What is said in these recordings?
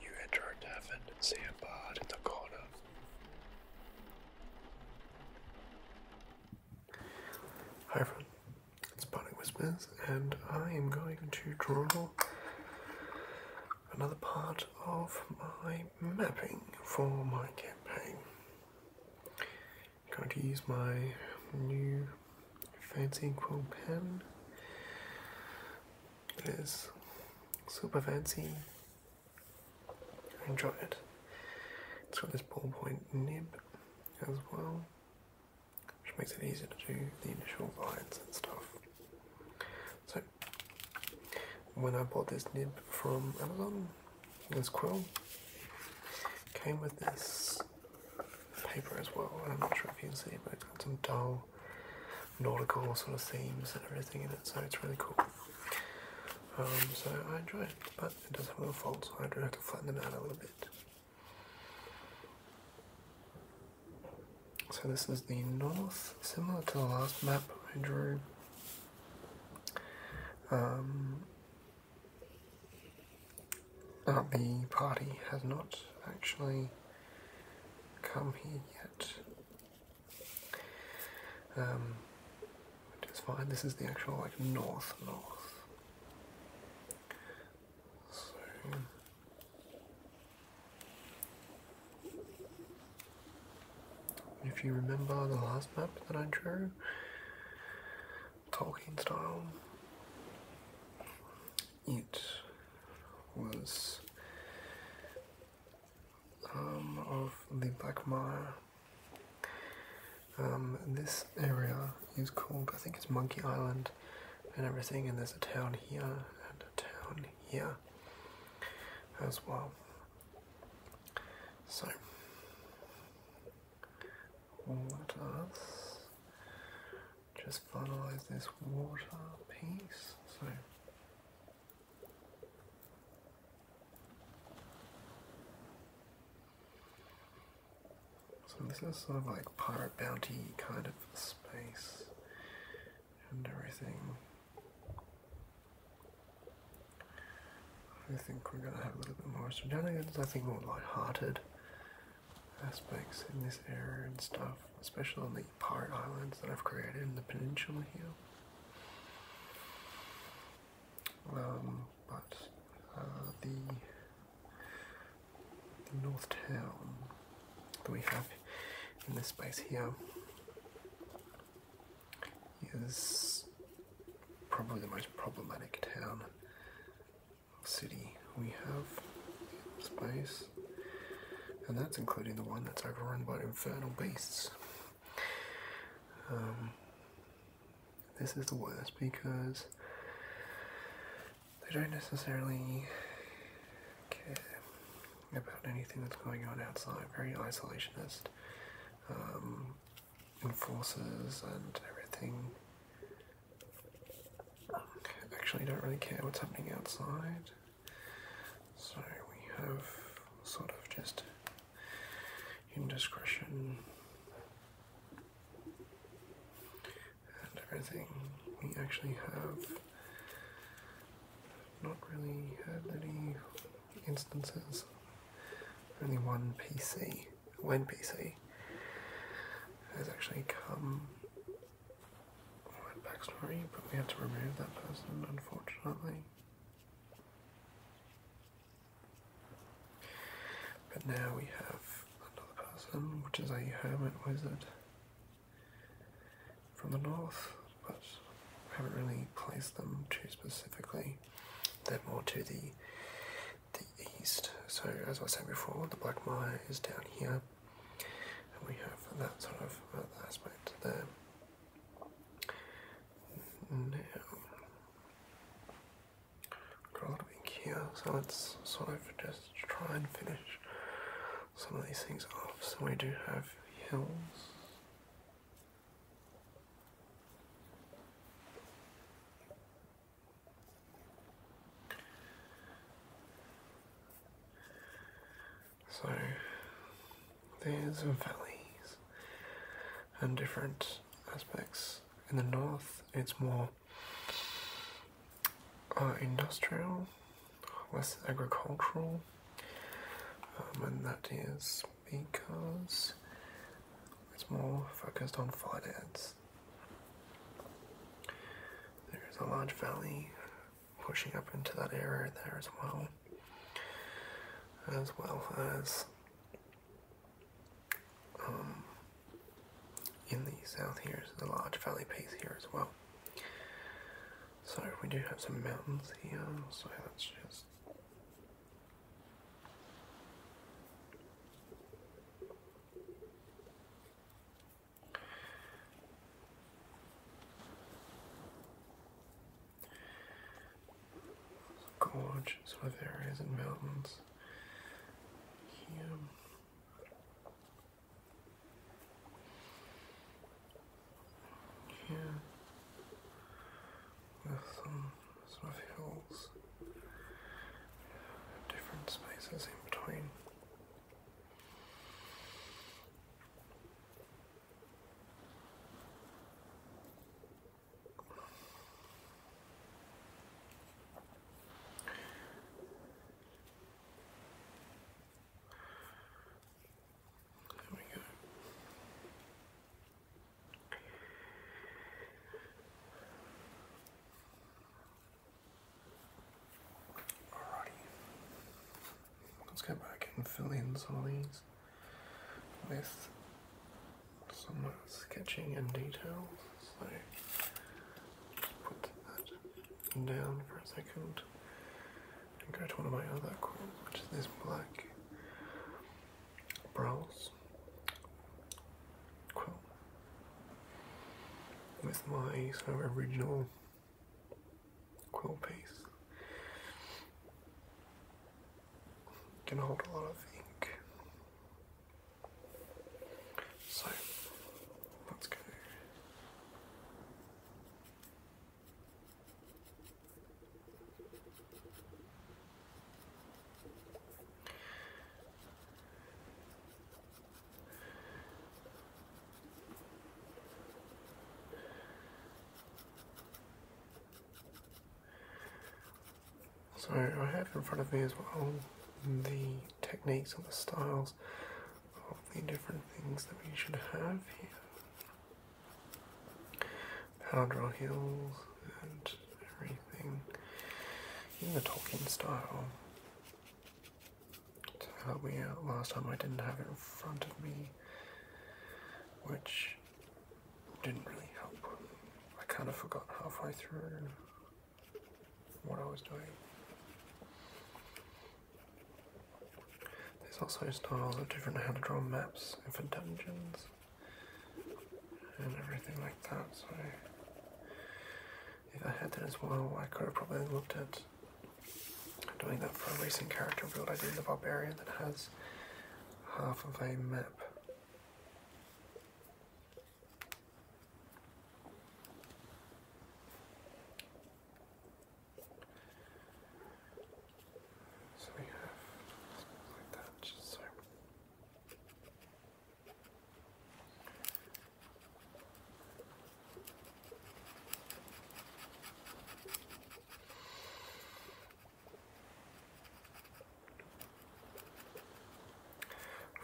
You enter a tavern and see a bard in the corner. Hi everyone, it's Barney Whispers, and I am going to draw another part of my mapping for my campaign. I'm going to use my new fancy chrome pen. It is super fancy. enjoy it. It's got this ballpoint nib as well, which makes it easier to do the initial lines and stuff. So, when I bought this nib from Amazon, this quill came with this paper as well. And I'm not sure if you can see, but it's got some dull nautical sort of themes and everything in it, so it's really cool. Um, so I enjoy it, but it does have a little faults, so I do have to flatten them out a little bit. So this is the north, similar to the last map I drew. Um, uh, the party has not actually come here yet. Um, which is fine, this is the actual like north north. if you remember the last map that I drew, Tolkien style, it was um, of the Black Mire. Um, this area is called, I think it's Monkey Island and everything, and there's a town here and a town here as well. So, let us just finalize this water piece. So So this is sort of like pirate bounty kind of space and everything. I think we're gonna have a little bit more shenanigans, I think more light-hearted aspects in this area and stuff, especially on the part islands that I've created in the peninsula here. Um, but uh, the north town that we have in this space here is probably the most problematic town city we have space, and that's including the one that's overrun by infernal beasts. Um, this is the worst because they don't necessarily care about anything that's going on outside. Very isolationist, um, enforcers, and everything Actually, I don't really care what's happening outside. So we have sort of just indiscretion and everything. We actually have not really had any instances, only one PC when PC has actually come backstory, but we had to remove that person unfortunately. But now we have another person, which is a hermit wizard from the north, but I haven't really placed them too specifically. They're more to the the east. So as I said before, the Black Mire is down here, and we have that sort of aspect there. Now, got here, so let's sort of just try and finish some of these things off. So we do have hills. So there's valleys and different aspects. In the north, it's more uh, industrial, less agricultural, um, and that is because it's more focused on finance. There's a large valley pushing up into that area there as well, as well as um, in the south here is a large valley piece here as well. So we do have some mountains here, so that's just Gorge sort of areas and mountains here. Here some sort hills different spaces in between. There we go. Let's go back and fill in some of these with some sketching and detail. So put that down for a second and go to one of my other quills, which is this black brows quill with my sort of original quill piece. Can hold a lot of ink. So let's go. So I have in front of me as well the techniques and the styles of the different things that we should have here. Power draw and everything in the Tolkien style to help me out last time I didn't have it in front of me, which didn't really help. I kind of forgot halfway through what I was doing. There's also styles of different how to draw maps for dungeons and everything like that, so if I had that as well, I could have probably looked at doing that for a recent character build I did in the Barbarian that has half of a map. So we have like that, so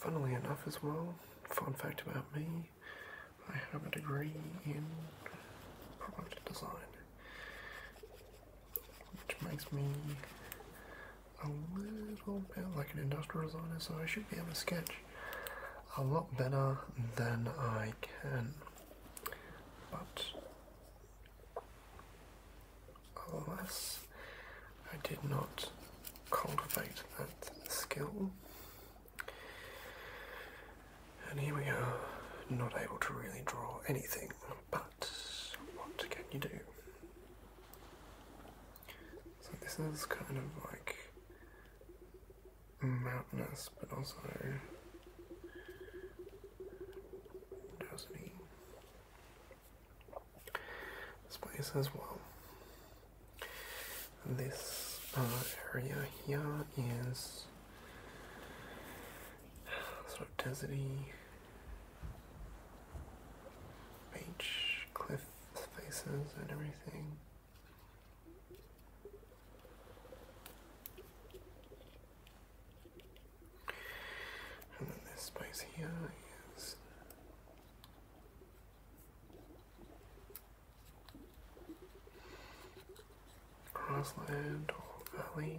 Funnily enough, as well, fun fact about me, I have a degree in product design, which makes me a little bit like an industrial designer, so I should be able to sketch a lot better than I can. But alas, I did not cultivate that skill. And here we are, not able to really draw anything, but what can you do? So this is kind of like mountainous, but also dozeny. This place as well. This uh, area here is sort of deserty beach cliff Spaces and everything. And then this place here is grassland or valley.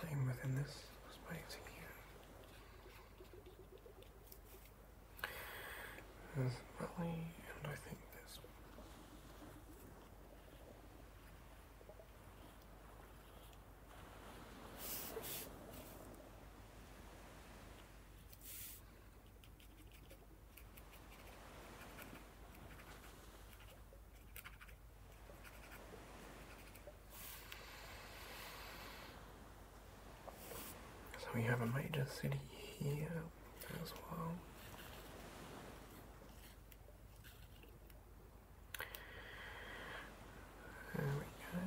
Playing within this space here. There's belly, and I think this. So we have a major city here as well. There we go.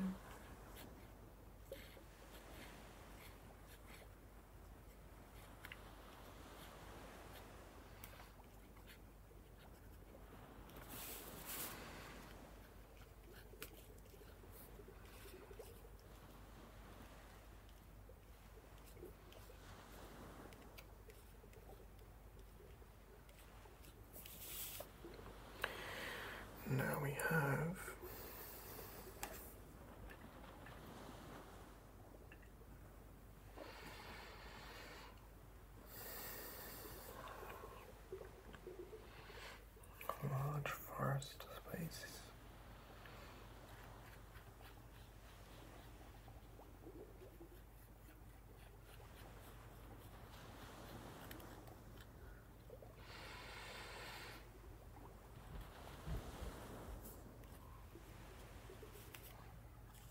Now we have Large forest spaces.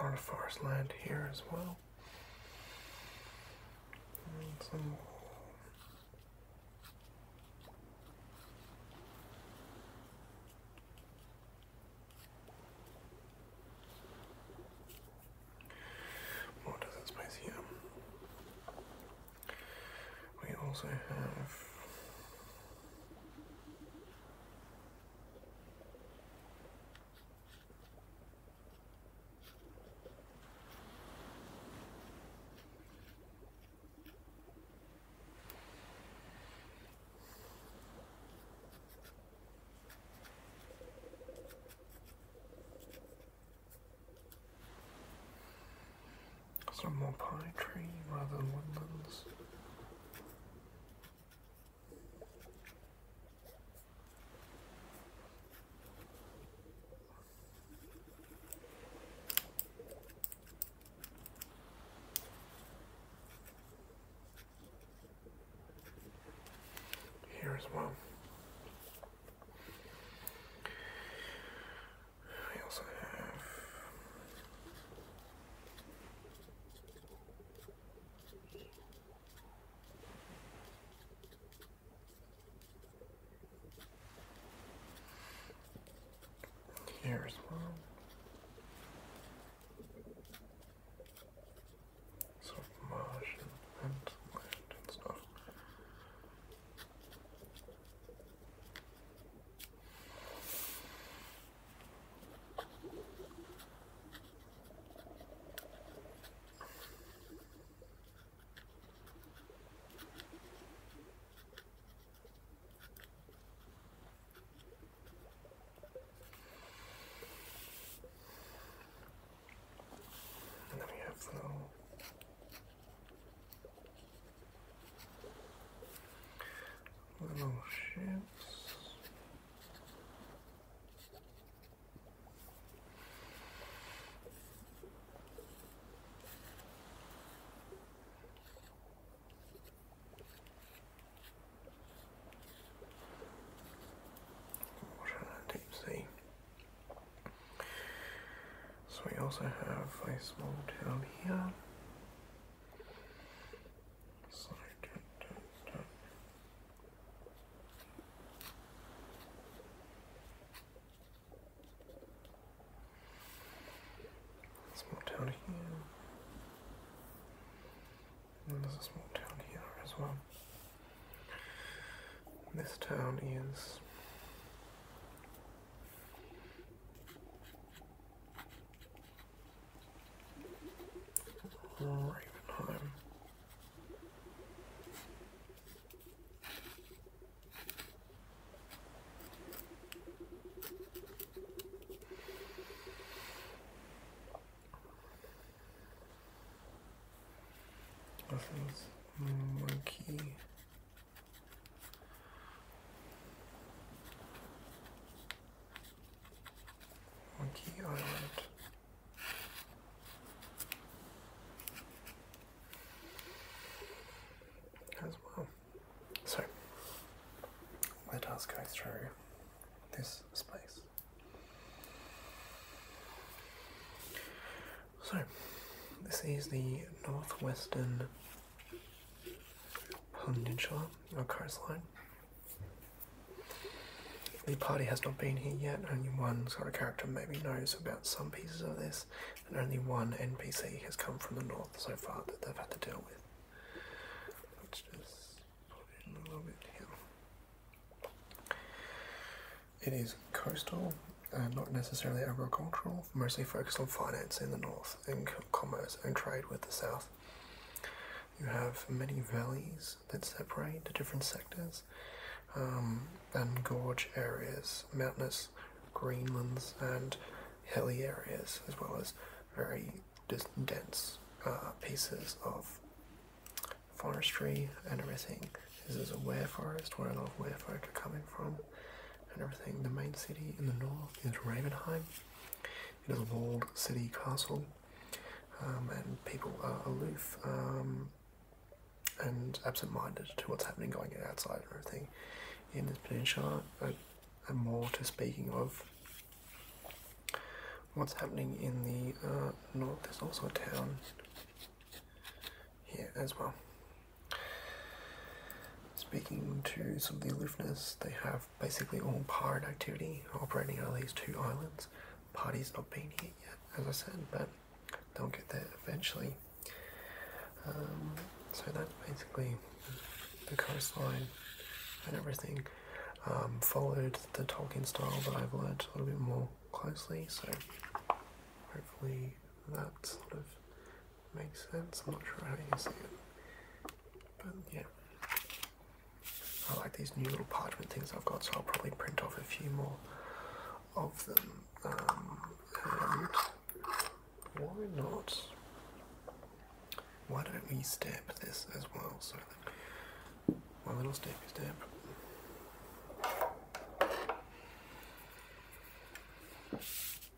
A lot of forest land here as well. what does that space here? We also have some more pine trees rather than woodlands. Here as well. I also have Here's one. So marsh and land and stuff. And then we have the uh, little Little ships. Water and deep sea. So we also have a small town here. So, dun, down here. there's a small town here as well. this town is Ravenheim. This is monkey. Monkey Island. As well. So let us go through this space. So, this is the northwestern Peninsula or coastline. The party has not been here yet. Only one sort of character maybe knows about some pieces of this, and only one NPC has come from the north so far that they've had to deal with. Let's just put in a little bit here. It is coastal, uh, not necessarily agricultural, mostly focused on finance in the north and commerce and trade with the south. You have many valleys that separate the different sectors, um, and gorge areas, mountainous greenlands, and hilly areas, as well as very dense uh, pieces of forestry and everything. This is a ware forest, where a lot of ware folk are coming from, and everything. The main city in the north is Ravenheim. It is a walled city castle, um, and people are aloof um, and absent-minded to what's happening going outside and everything. In this peninsula, and, and more to speaking of what's happening in the uh, north. There's also a town here as well. Speaking to some of the aloofness, they have basically all pirate activity operating out of these two islands. Party's not been here yet, as I said, but they'll get there eventually. Um, so that's basically the coastline and everything. Um, followed the Tolkien style that I've learned a little bit more closely, so hopefully that sort of makes sense. I'm not sure how you see it but yeah, I like these new little parchment things I've got, so I'll probably print off a few more of them. Um, and why not? Why don't we stamp this as well? So my little stampy stamp.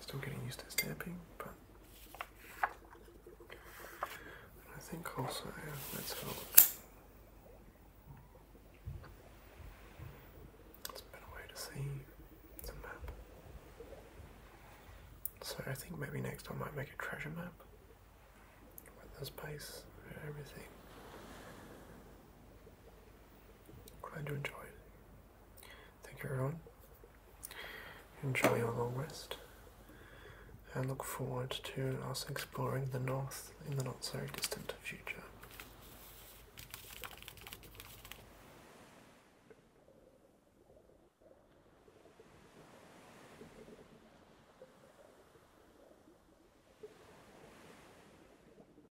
Still getting used to stamping, but I think also yeah, let's go. It's a better way to see the map. So I think maybe next I might make a treasure map with the space and everything. Glad you enjoyed. Thank you, everyone. Enjoy your long rest. And look forward to us exploring the north in the not so distant future.